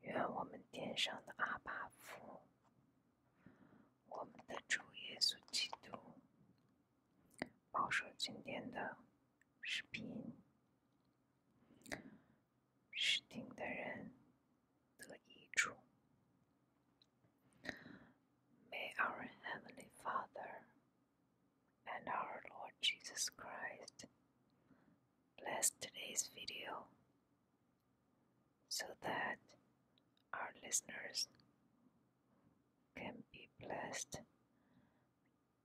愿我们天上的阿爸父，我们的主耶稣基督，保守今天的视频、视听的人得益处。May our heavenly Father and our Lord Jesus Christ. Bless today's video so that our listeners can be blessed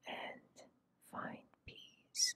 and find peace.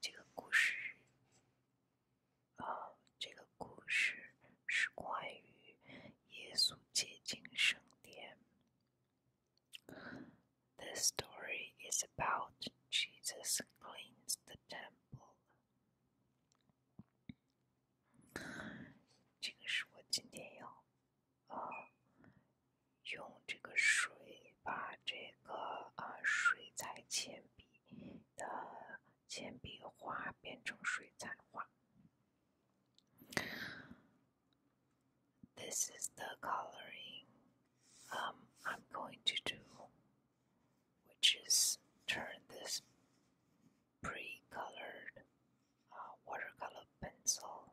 这个故事，呃，这个故事是关于耶稣洁净圣殿。This story is about Jesus cleans the temple。这个是我今天要。呃，用这个水把这个啊、呃、水彩铅笔的铅笔画变成水彩画。This is the coloring um, I'm going to do, which is turn this pre-colored uh, watercolor pencil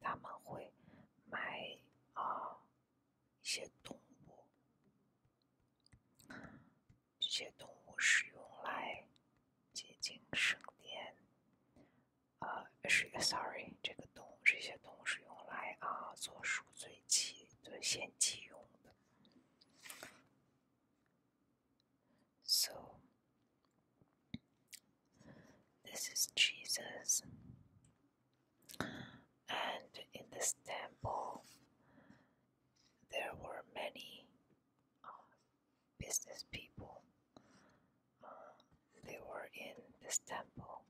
他们会买啊一些动物，这些动物是用来接近圣殿，呃，是 sorry，这个动物，这些动物是用来啊做赎罪祭、做献祭用的。So, this is Jesus, and in this temple, there were many uh, business people. Uh, they were in this temple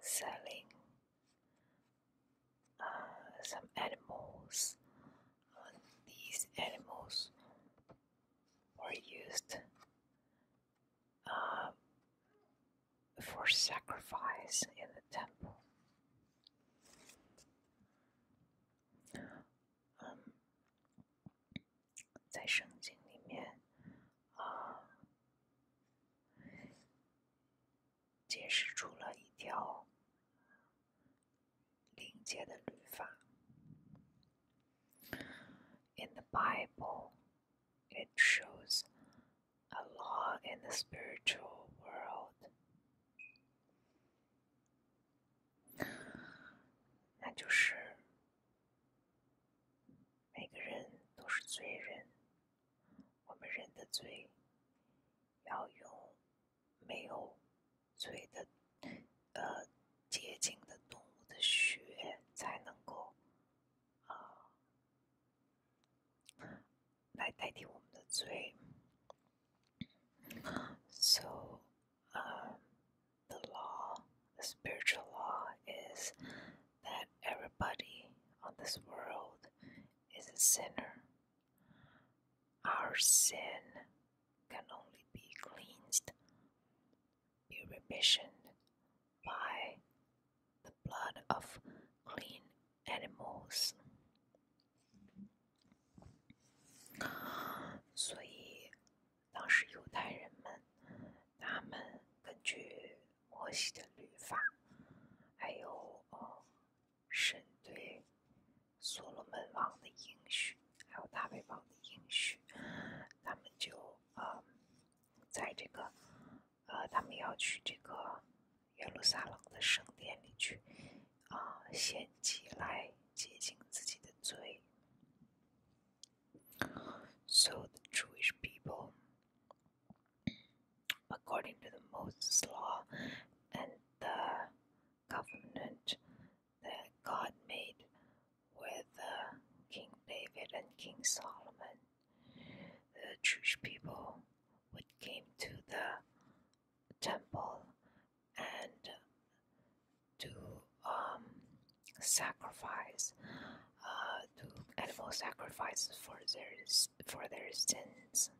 selling uh, some animals. these animals or used uh, for sacrifice in the temple. Um, 在圣经里面啊、呃，解释出了一条 in the Bible, it shows a law in the spiritual world，那就是每个人都是罪人，我们人的罪要用没有 so, um, the law, the spiritual law, is that everybody on this world is a sinner. Our sin can only be cleansed, be remissioned by the blood of clean animals。所以，当时犹太人们，他们根据摩西的律法，还有呃神对所罗门王的应许，还有大卫王的应许，他们就呃，在这个呃，他们要去这个耶路撒冷的圣殿里去啊、呃，献祭来洁净自己的罪。So the Jewish people, according to the Moses law and the covenant that God made with uh, King David and King Solomon. The Jewish people would came to the temple and to um, sacrifice uh, to animal sacrifices for their for their sins。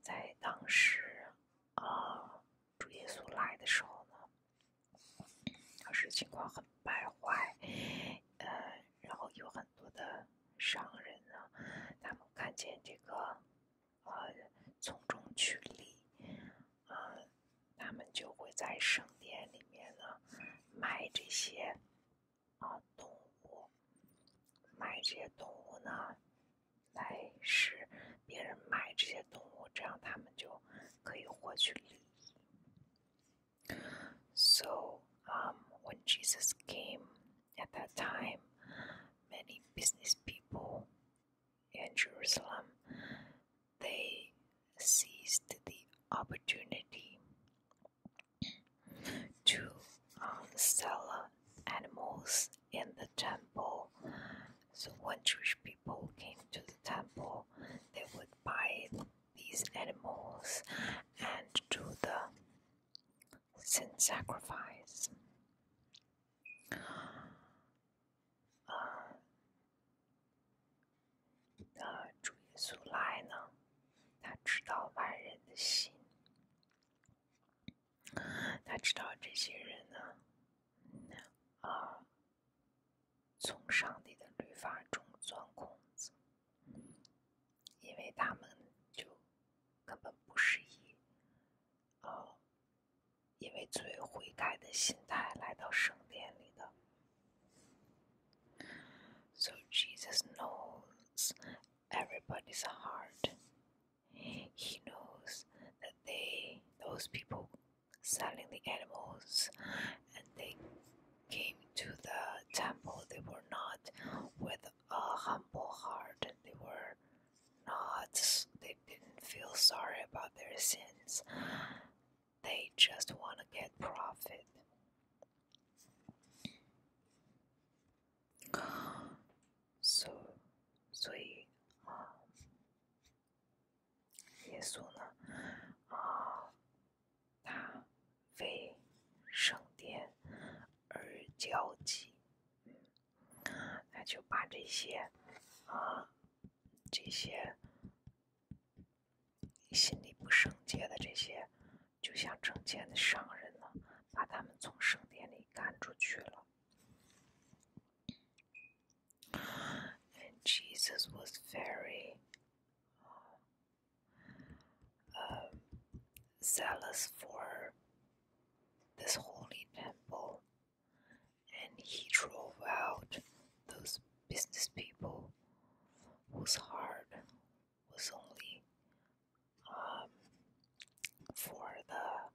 在当时啊、呃，主耶稣来的时候呢，当时情况很败坏，呃，然后有很多的商人呢，他们看见这个，呃，从中取利，呃，他们就会在圣殿里面呢卖这些啊动物，卖这些动物呢。来使别人买这些动物，这样他们就可以获取利益。So, um, when Jesus came at that time, many business people in Jerusalem they seized the opportunity to um, sell animals in the temple so when Jewish people came to the temple, they would buy these animals and do the sin sacrifice. Uh, uh, 他知道这些人呢，啊、呃，从上帝的律法中钻空子，因为他们就根本不是以啊、呃，因为罪悔改的心态来到圣殿里的。So Jesus knows everybody's heart. He knows that they, those people selling the animals, and they came to the temple, they were not with a humble heart, and they were not, they didn't feel sorry about their sins. They just want to get profit. 所，所以啊，耶稣呢啊，他为圣殿而焦急，那就把这些啊这些心里不圣洁的这些，就像成千的商人呢，把他们从圣殿里赶出去了。And Jesus was very um, zealous for this holy temple, and he drove out those business people whose heart was only um, for the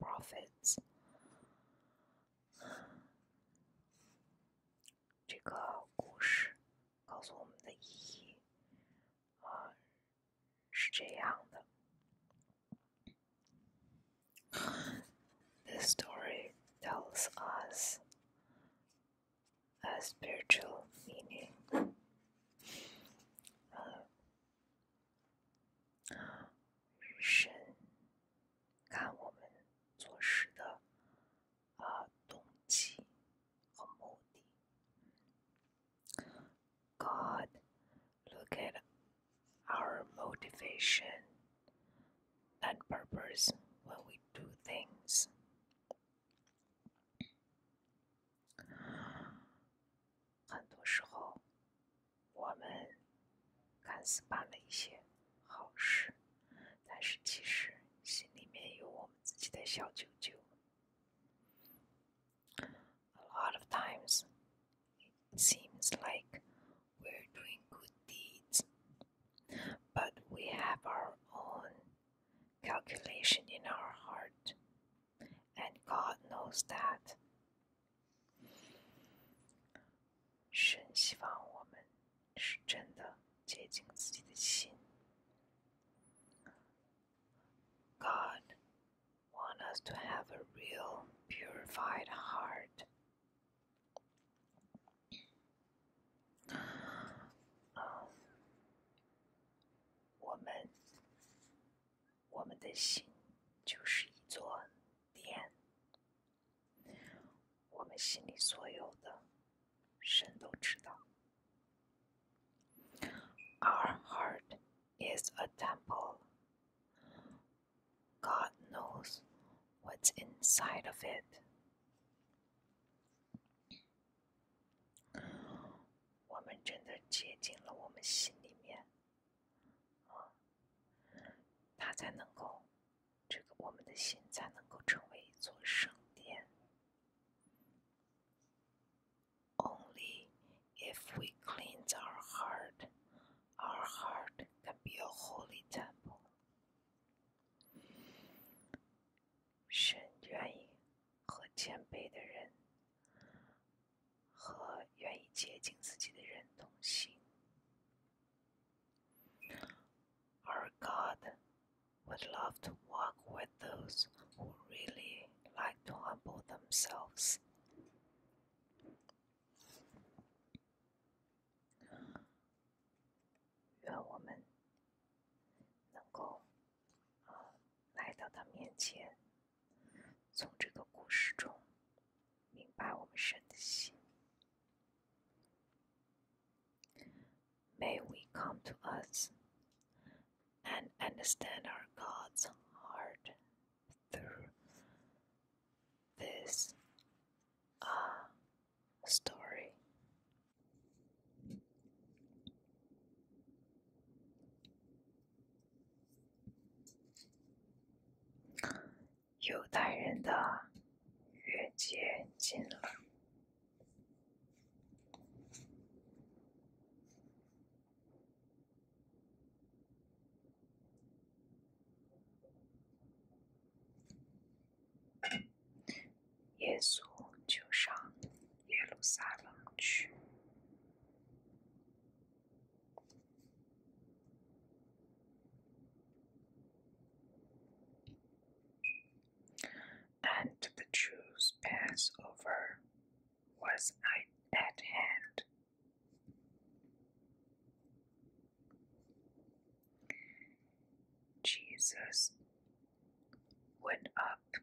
Prophets. This story tells us a spiritual meaning uh, 啊，神看我们做事的啊动机和目的。God look at our motivation and purpose when we do things. 很多时候，我们看似办了一些好事，但是其实心里面有我们自己的小九九。A lot of times, it seems like we're doing good deeds, but we have our own calculation in our heart and God knows that. 神希望我们是真的洁净自己的心。God wants us to have a real purified heart. 我们 um, 我们的心就是一座殿，我们心里所有的，神都知道。Our heart is a temple. God knows what's inside of it. 我们真的接近了我们心里面啊，他才能够，这个我们的心才能够成为一座圣殿。Only if we cleanse our heart, our heart can be a holy temple. 神愿意和谦卑的人。和愿意接近自己的人同行。Our God would love to walk with those who really like to humble themselves may we come to us and understand our God's heart through this uh, story. 犹太人的月节近了，耶稣就上耶路撒冷去。And the Jews' Passover was at hand. Jesus went up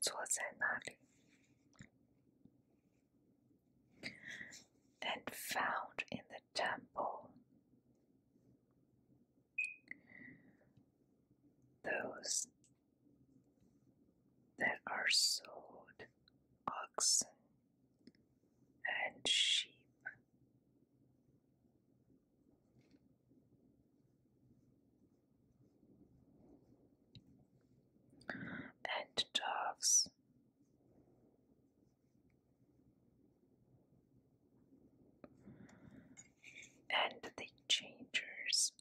坐在那里，and found in the temple those that are sold oxen and sheep. And dogs And the changers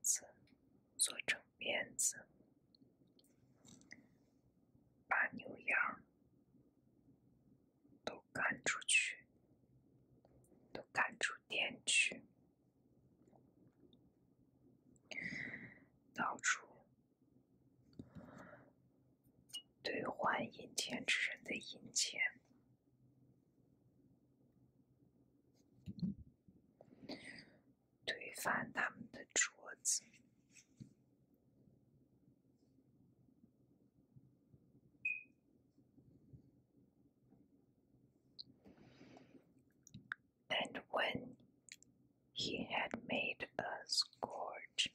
子做成辫子，把牛羊都赶出去，都赶出店去，到处兑换银钱之人的银钱。and when he had made a scourge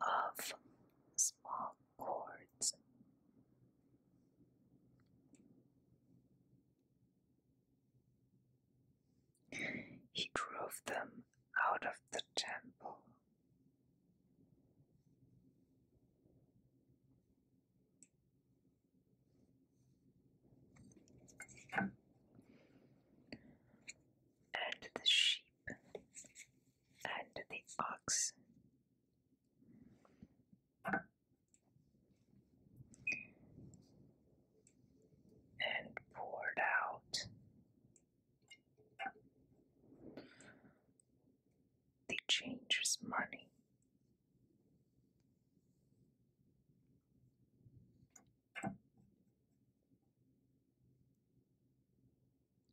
of small cords he drove them out of the temple. And the sheep and the box, And poured out the changer's money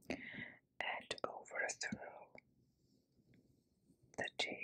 and overthrow the table.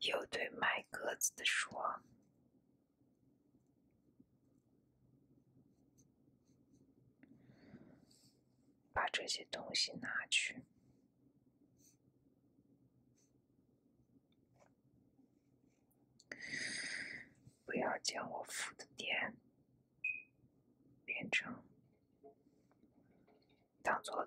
又对卖鸽子的说：“把这些东西拿去，不要将我付的点变成当做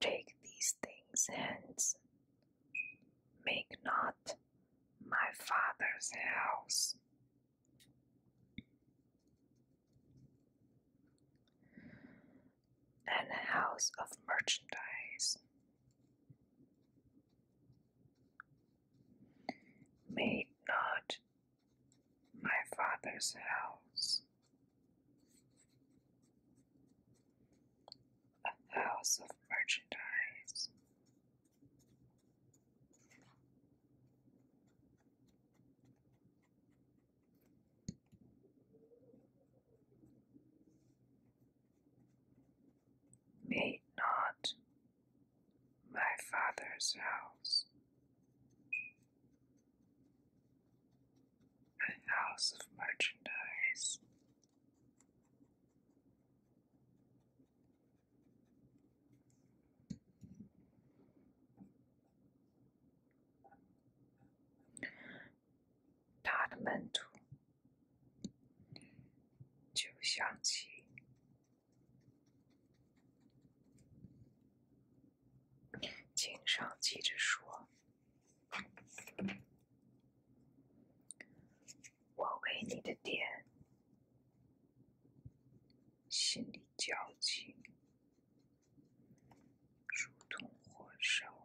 Take these things hence. Make not my father's house and a house of merchandise. Made not my father's house a house of merchandise. Meet not my father's house, a house of merchandise. Totamentu 就想起，经常记着说，我为你的点心里焦急，如同火烧。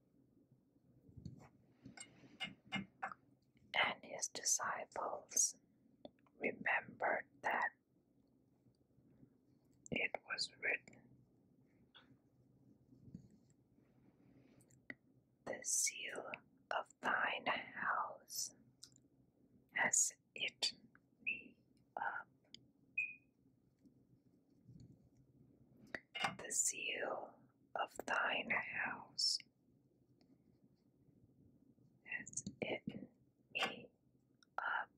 And his disciples remembered that it was written, The seal of thine house has it me up the seal of thine house has eaten me up.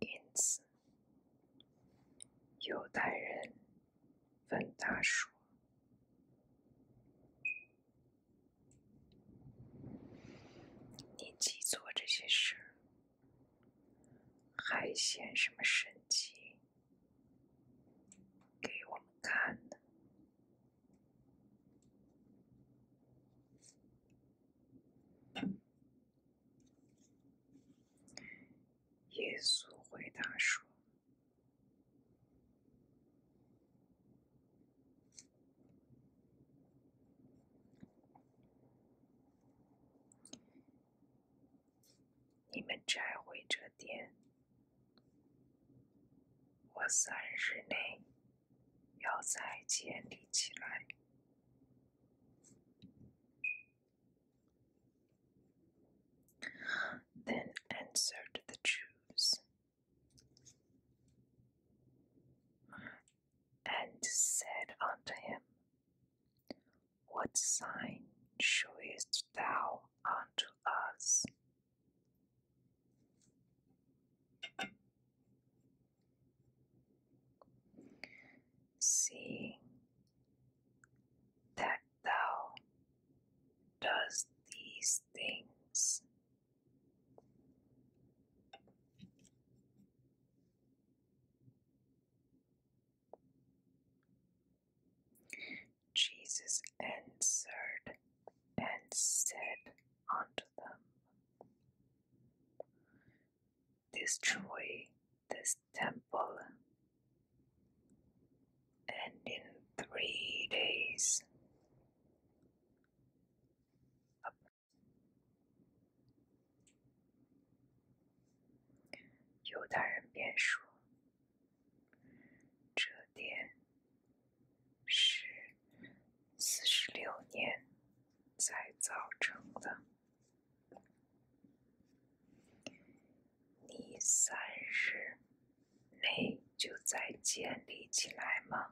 因此，犹太人问他说：“你既做这些事，还嫌什么神迹？”给我们看的。耶稣回答说：“你们摘回这。”这点，我三日内要再建立起来。Then answered the Jews and said unto him, what sign showest thou unto us? Seeing that thou dost these things, Jesus answered and said unto them, Destroy this temple, and in three days 犹大人便说：“这点是四十六年才造成的，你三日内就再建立起来吗？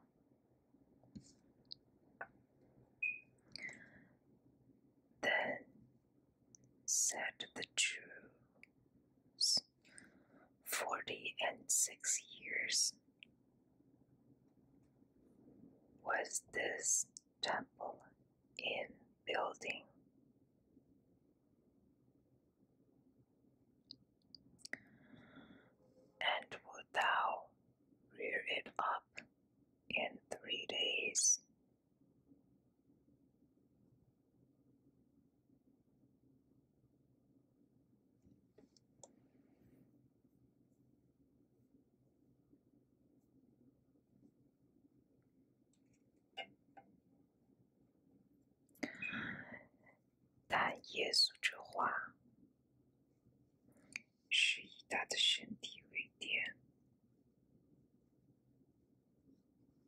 等。said the Jews, forty and six years was this temple in building. And would thou rear it up in three days? 但耶稣这话是以他的身体为典。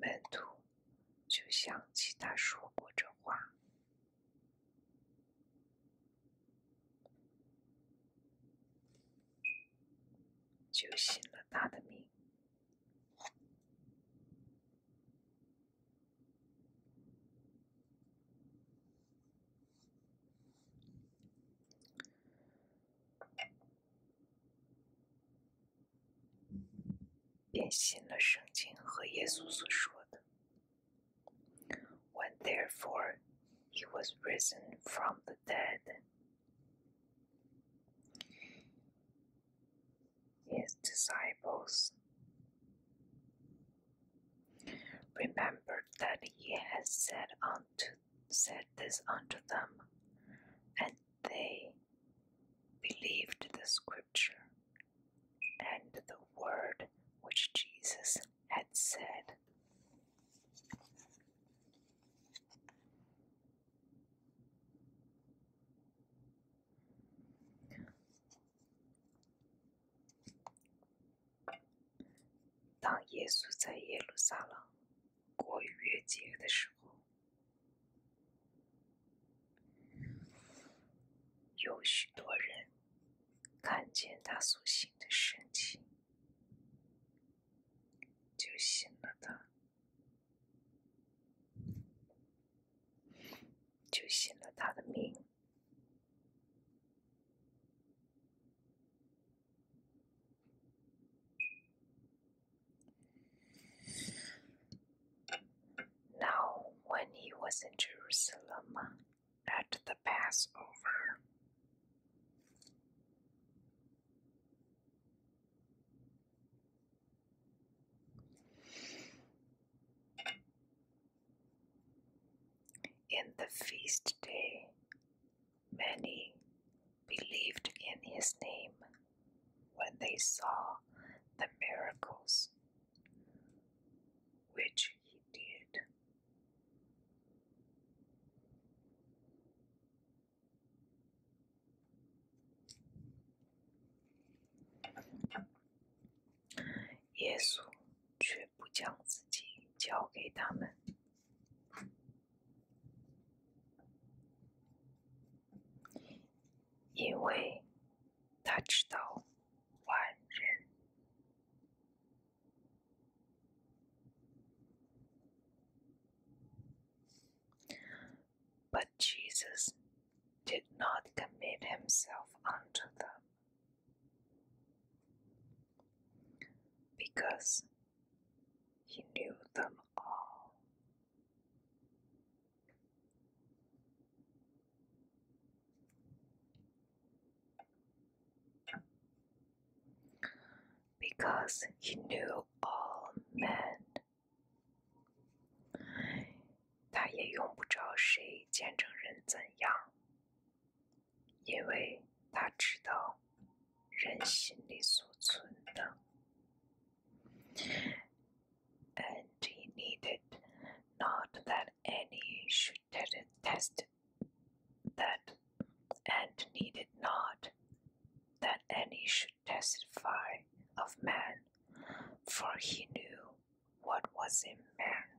门徒就想起他说过这话，就信了他的命。When therefore he was risen from the dead, his disciples remembered that he had said unto said this unto them, and they believed the scripture and the word which Jesus had said. 过月节的时候，有许多人看见他所行的神迹，就信了他，就信了他的名。Now, when he was in Jerusalem at the Passover, in the feast day Many believed in his name when they saw the miracles which he did. Yesu 因为他知道万人，but Jesus did not commit himself unto them. Because he knew them all because he knew all men。他也用不着谁见证人怎样，因为他知道 and he needed not that any should needed not that any should testify of man, for he knew what was in man.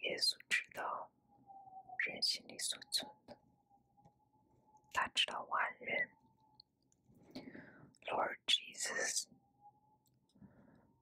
耶稣知道人心里所存的，他知道万人。Lord Jesus。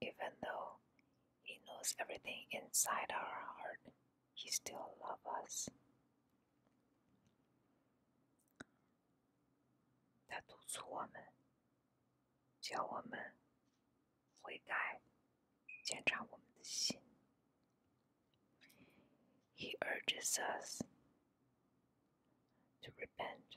Even though He knows everything inside our heart, He still loves us. He urges us to repent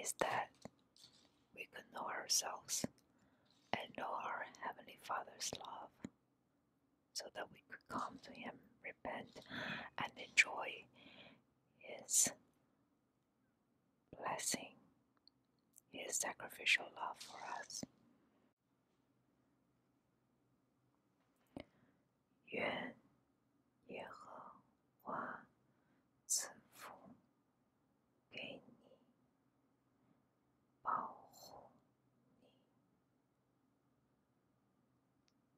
is that we could know ourselves and know our Heavenly Father's love so that we could come to Him, repent, and enjoy His blessing, His sacrificial love for us. 愿耶和华赐福给你，保护你。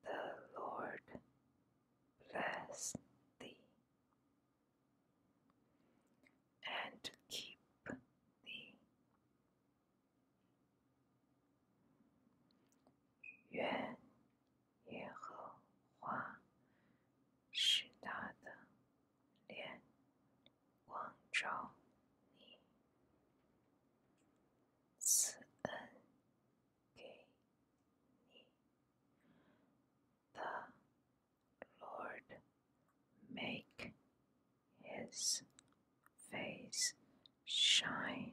The Lord bless thee and keep thee. 愿耶和华使他的脸光照你，慈恩给你。The Lord make his face shine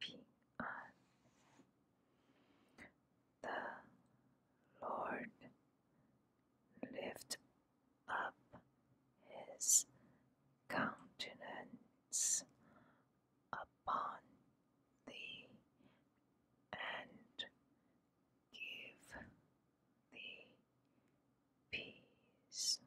Be the Lord lift up his countenance upon thee and give thee peace.